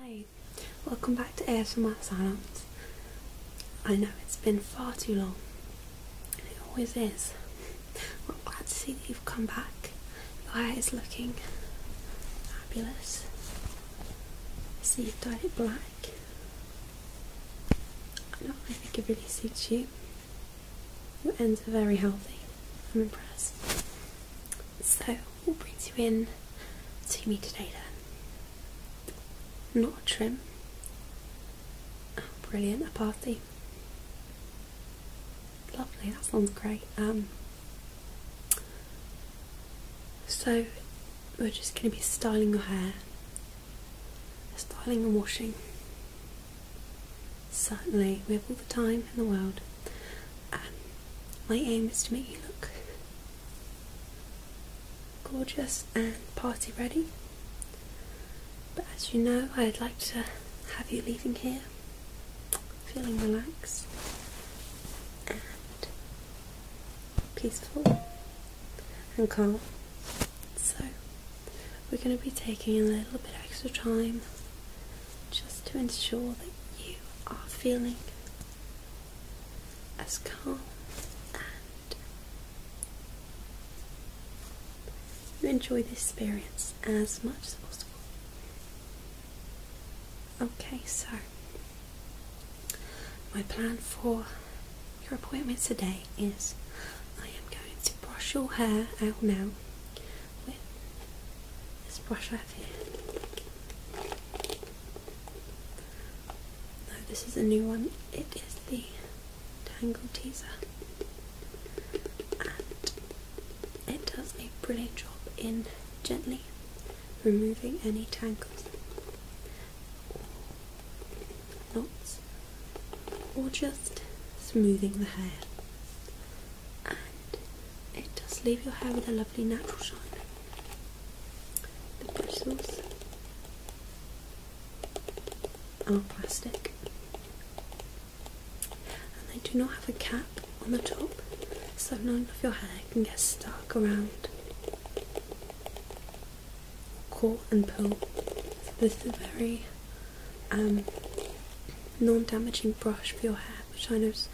Hi, welcome back to ASMR Silence. I know it's been far too long, it always is. Well, I'm glad to see that you've come back. Your hair is looking fabulous. See, you've dyed it black. I know, I think it really suits you. Your ends are very healthy. I'm impressed. So, what brings you in to me today then? Not a trim. Oh, brilliant, a party. Lovely, that sounds great. Um, so we're just going to be styling your hair, styling and washing. Certainly, we have all the time in the world. My aim is to make you look gorgeous and party ready. But as you know, I'd like to have you leaving here feeling relaxed and peaceful and calm. So, we're going to be taking a little bit extra time just to ensure that you are feeling as calm and you enjoy the experience as much as possible. Okay, so my plan for your appointment today is I am going to brush your hair out now with this brush I have here. No, this is a new one. It is the Tangle Teaser. And it does a brilliant job in gently removing any tangles or knots or just smoothing the hair it does leave your hair with a lovely natural shine. The bristles are plastic and they do not have a cap on the top, so none of your hair can get stuck around caught and pull. this is a very um, non-damaging brush for your hair, which I know is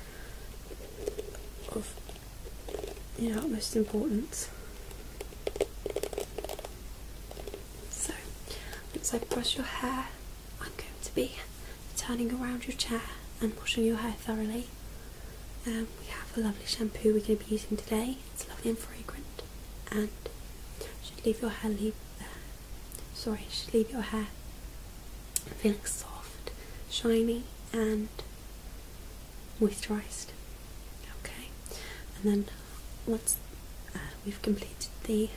of you know, utmost importance. So, once I brush your hair, I'm going to be turning around your chair and washing your hair thoroughly. Um, we have a lovely shampoo we're going to be using today. It's lovely and fragrant, and should leave your hair leave. sorry, should leave your hair feeling soft, shiny, and moisturised. Okay, and then once uh, we've completed the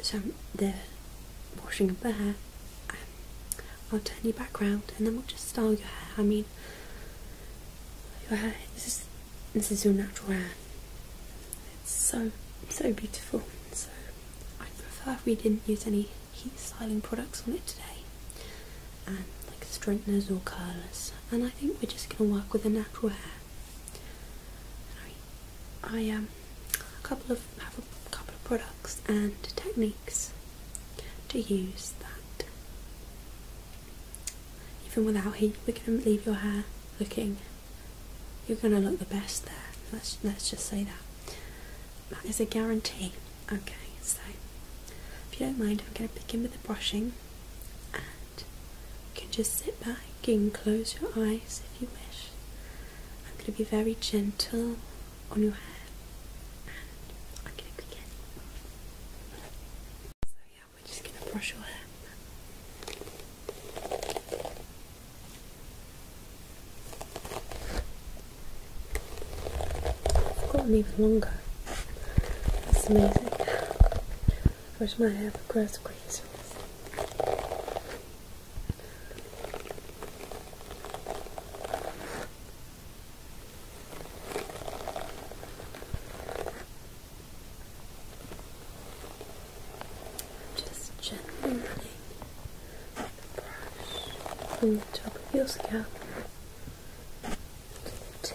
so the washing of the hair, um, I'll turn you back round and then we'll just style your hair. I mean, your hair this is this is your natural hair. It's so so beautiful. So I prefer if we didn't use any heat styling products on it today, and like straighteners or curlers. And I think we're just going to work with the natural hair. I um, a couple of have a couple of products and techniques to use that even without heat, we're going to leave your hair looking. You're going to look the best there. Let's let's just say that. That is a guarantee. Okay, so if you don't mind, I'm going to begin with the brushing, and you can just sit back and close your eyes if you wish. I'm going to be very gentle on your hair, and I'm going to begin. So yeah, we're just going to brush your hair. I've gotten even longer. That's amazing. Wish my hair would grow as Just gently brush on the top of your scalp to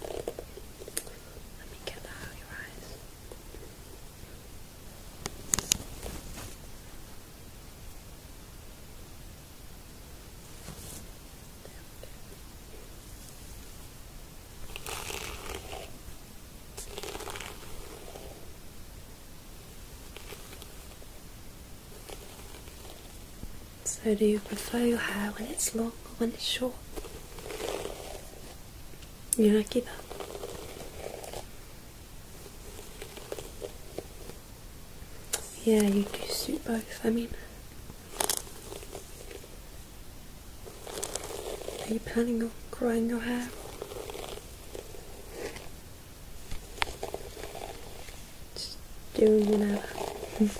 Let me get out your eyes. So, do you prefer your hair when it's long or when it's short? You like either? Yeah, you do suit both. I mean, are you planning on growing your hair? Just doing whatever.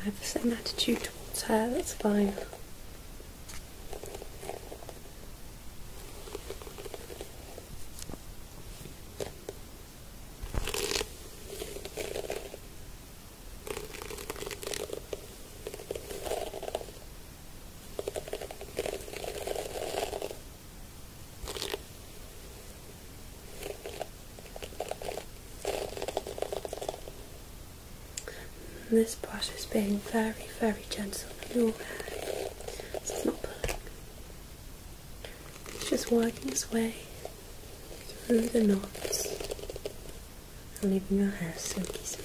I have the same attitude towards her, that's fine this brush is being very, very gentle it's not pulling. It's just working its way through the knots and leaving your hair silky smooth.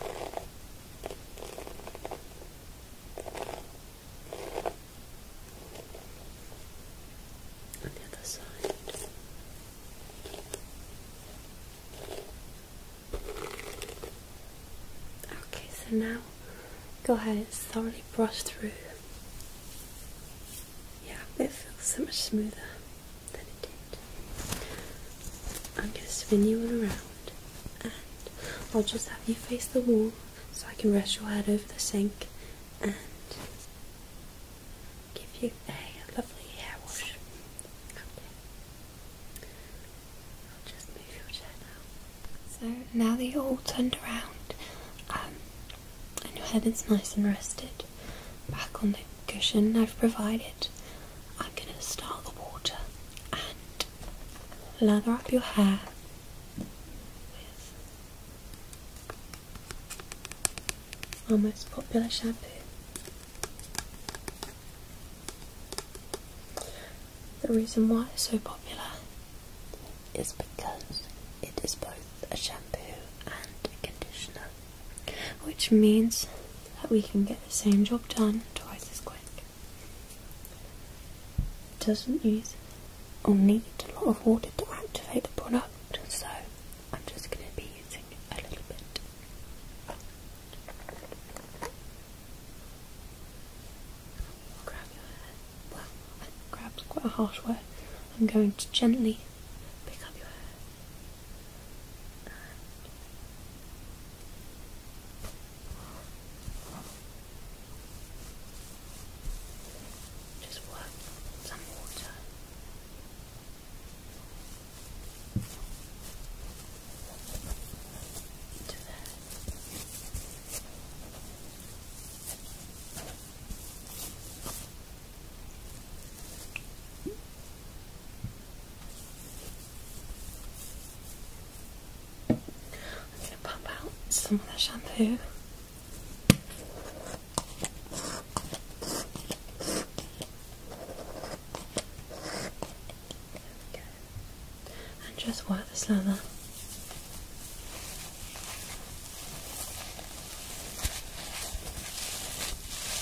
On the other side. Okay, so now go ahead and thoroughly brush through. Yeah, it feels so much smoother than it did. I'm going to spin you around and I'll just have you face the wall so I can rest your head over the sink and give you a lovely hair wash. I'll just move your chair now. So now that you're all turned around um, and your head is nice and rested back on the cushion I've provided, I'm going to start the water and lather up your hair with almost popular shampoo. The reason why it's so popular is because it is both a shampoo and a conditioner, which means that we can get the same job done twice as quick. It doesn't use or need a lot of water to activate the product, so I'm just going to be using a little bit. Grab your hair. Well, grab's quite a harsh word. I'm going to gently pick up your hair and just work some water. Into there. I'm going to pump out some of the shampoo. And just work this leather.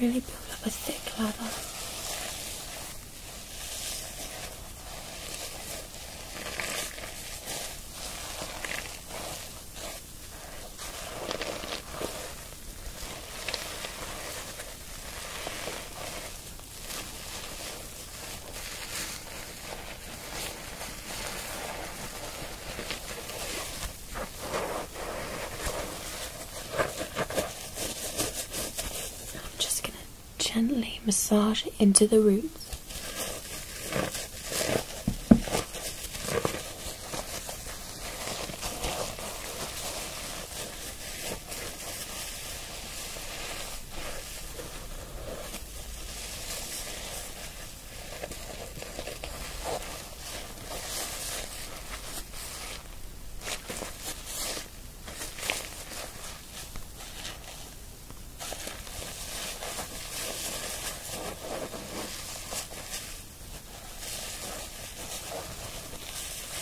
Really build up a thick leather. I'm just going to gently massage it into the roots.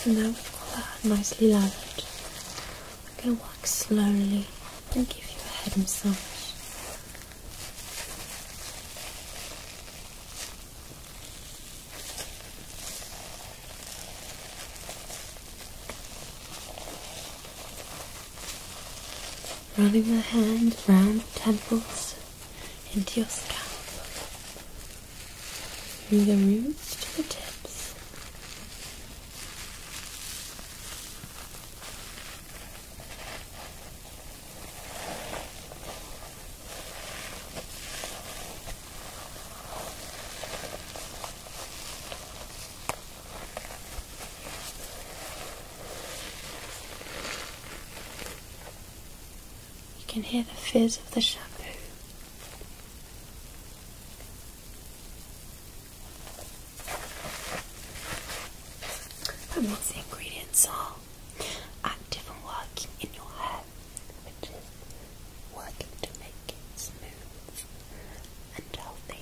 And now we've got that nicely lathered. I'm going to work slowly and give you a head massage. Running the hand round the temples into your scalp, through the roots to the tips, you can hear the fizz of the shampoo. And what's the ingredients are? Active and working in your hair, which is working to make it smooth and healthy.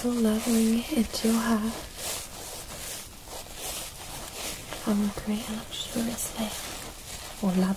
Still leveling it to half. I will create a luxurious lake or lab.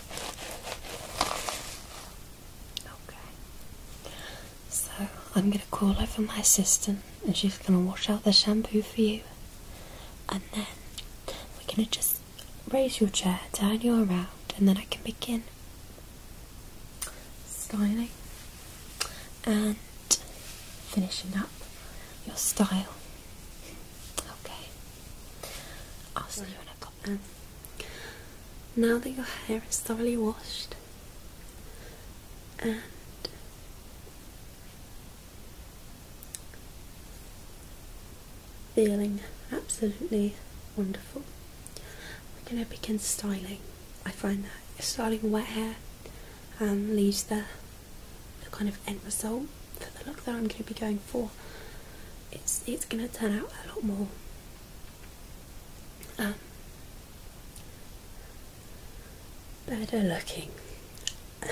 Okay. So I'm going to call over my assistant and she's going to wash out the shampoo for you. And then we're going to just raise your chair, turn you around, and then I can begin styling and finishing up your style. Okay. I'll see you in a couple. Um, now that your hair is thoroughly washed and feeling absolutely wonderful, we're going to begin styling. I find that styling wet hair um, leaves the, the kind of end result for the look that I'm going to be going for it's it's gonna turn out a lot more um, better looking. I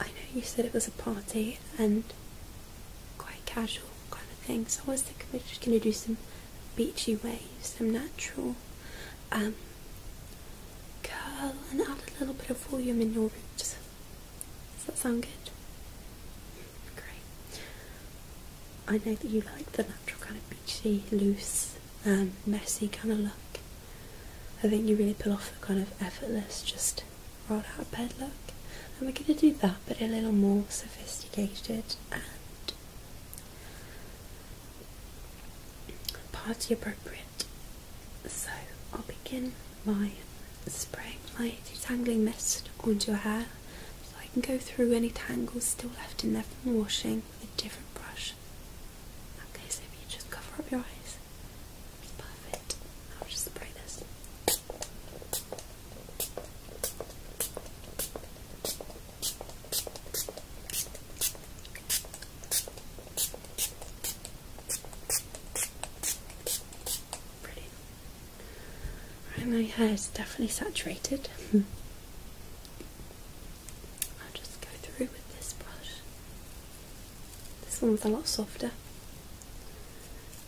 know you said it was a party and quite casual kind of thing, so I was thinking we're just gonna do some beachy waves, some natural um, curl and add a little bit of volume in your roots. Does that sound good? Great. I know that you like the natural kind of beachy, loose, um, messy kind of look. I think you really pull off the kind of effortless, just roll out bed look. And we're going to do that, but a little more sophisticated and party appropriate. So I'll begin by spraying my detangling mist onto your hair so I can go through any tangles still left in there from washing with a different brush. Okay, so if you just cover up your eyes, it's perfect. just spray this. Right, my hair is definitely saturated. Hmm. I'll just go through with this brush. This one's a lot softer.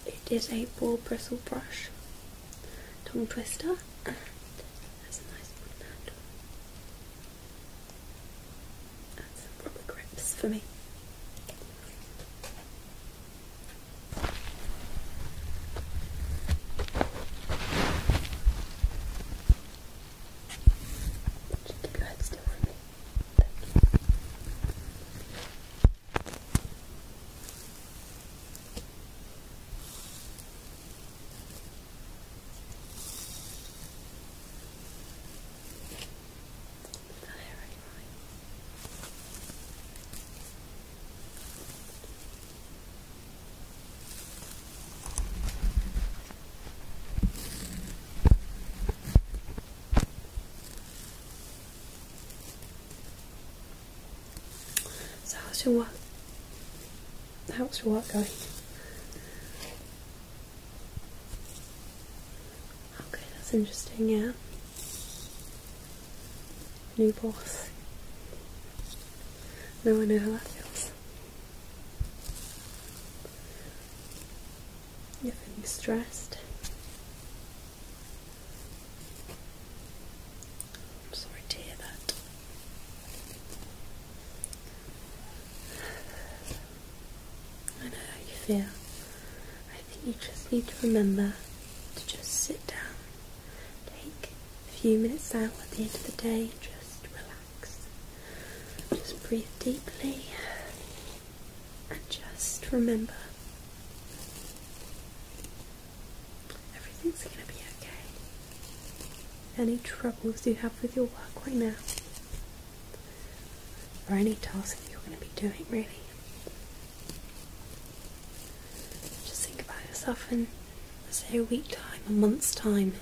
It is a ball bristle brush, tongue twister, and a nice one some rubber grips for me. Just keep your head still the herring So how's your work? How's your work going? Okay, that's interesting, yeah. New boss. No I know how that feels. You're feeling stressed. I'm sorry to hear that. I know how you feel. I think you just need to remember to just sit down, take a few minutes out at the end of the day, just relax, just breathe deeply, and just remember everything's going to be okay. Any troubles you have with your work right now or any task that you're going to be doing, really. Just think about yourself and say, a week time, a month's time.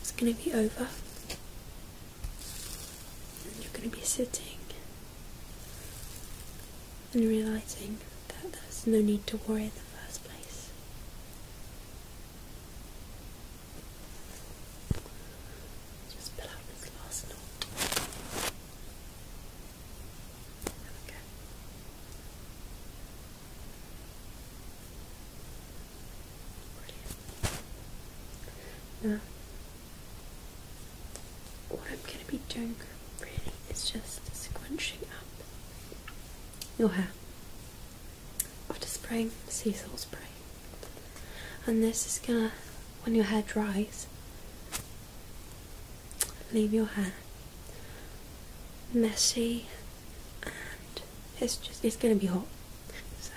It's going to be over. you're going to be sitting and realizing that there's no need to worry in the first place. Just pull out this last knot. There we go. Brilliant. Now, what I'm going to be doing really is just scrunching up your hair after spraying sea salt spray. And this is gonna, when your hair dries, leave your hair messy and it's just, it's gonna be hot. So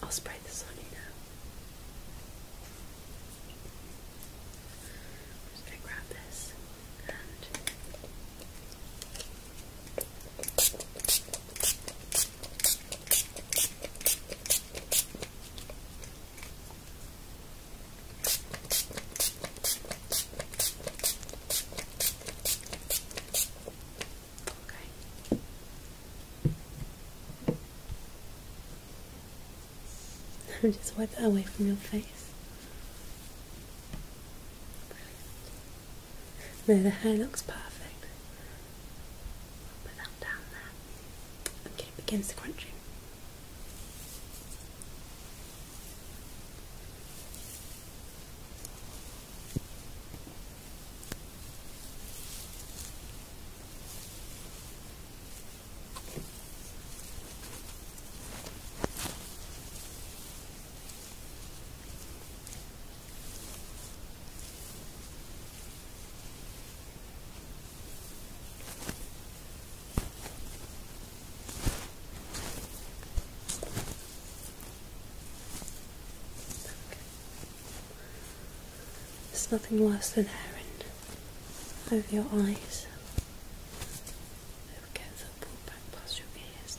I'll spray this on you now. just gonna grab this and Okay. Just wipe it away from your face. No, the hair looks perfect. put that down there. Okay, begins the crunching. There's nothing worse than herring over your eyes. It gets pulled back past your ears.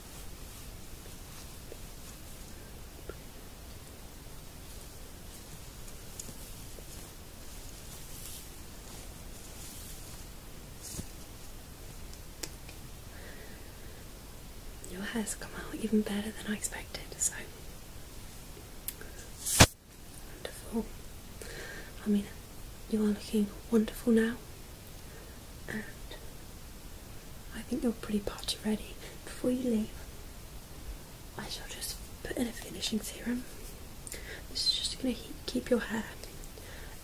Your has come out even better than I expected, so wonderful. I mean, you are looking wonderful now and I think you're pretty much ready. Before you leave, I shall just put in a finishing serum. This is just going to keep your hair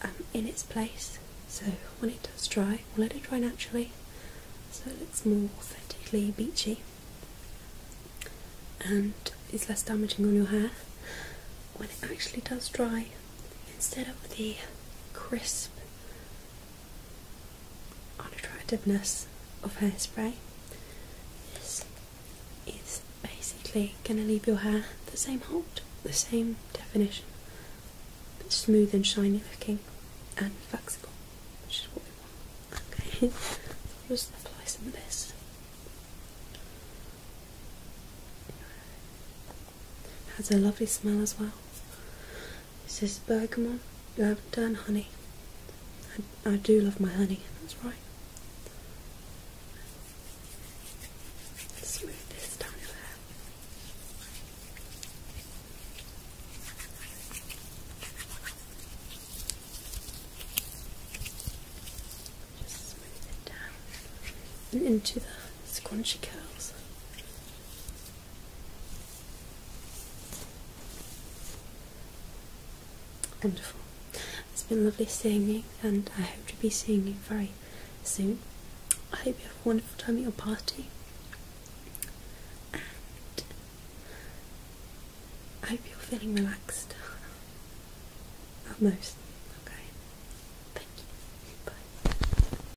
um, in its place. So when it does dry, we'll let it dry naturally, so it looks more authentically beachy and is less damaging on your hair. When it actually does dry, instead of the crisp unattractiveness of hairspray. This is basically going to leave your hair the same hold, the same definition, but smooth and shiny looking and flexible, which is what we want. Okay, let's apply some of this. Has a lovely smell as well. This is bergamot, lavender, and honey. I, do love my honey, that's right. Smooth this down your hair. Just smooth it down and into the scrunchy curls. Wonderful. It's been lovely seeing you, and I hope to be seeing you very soon. I hope you have a wonderful time at your party, and I hope you're feeling relaxed. Almost. Okay. Thank you. Bye.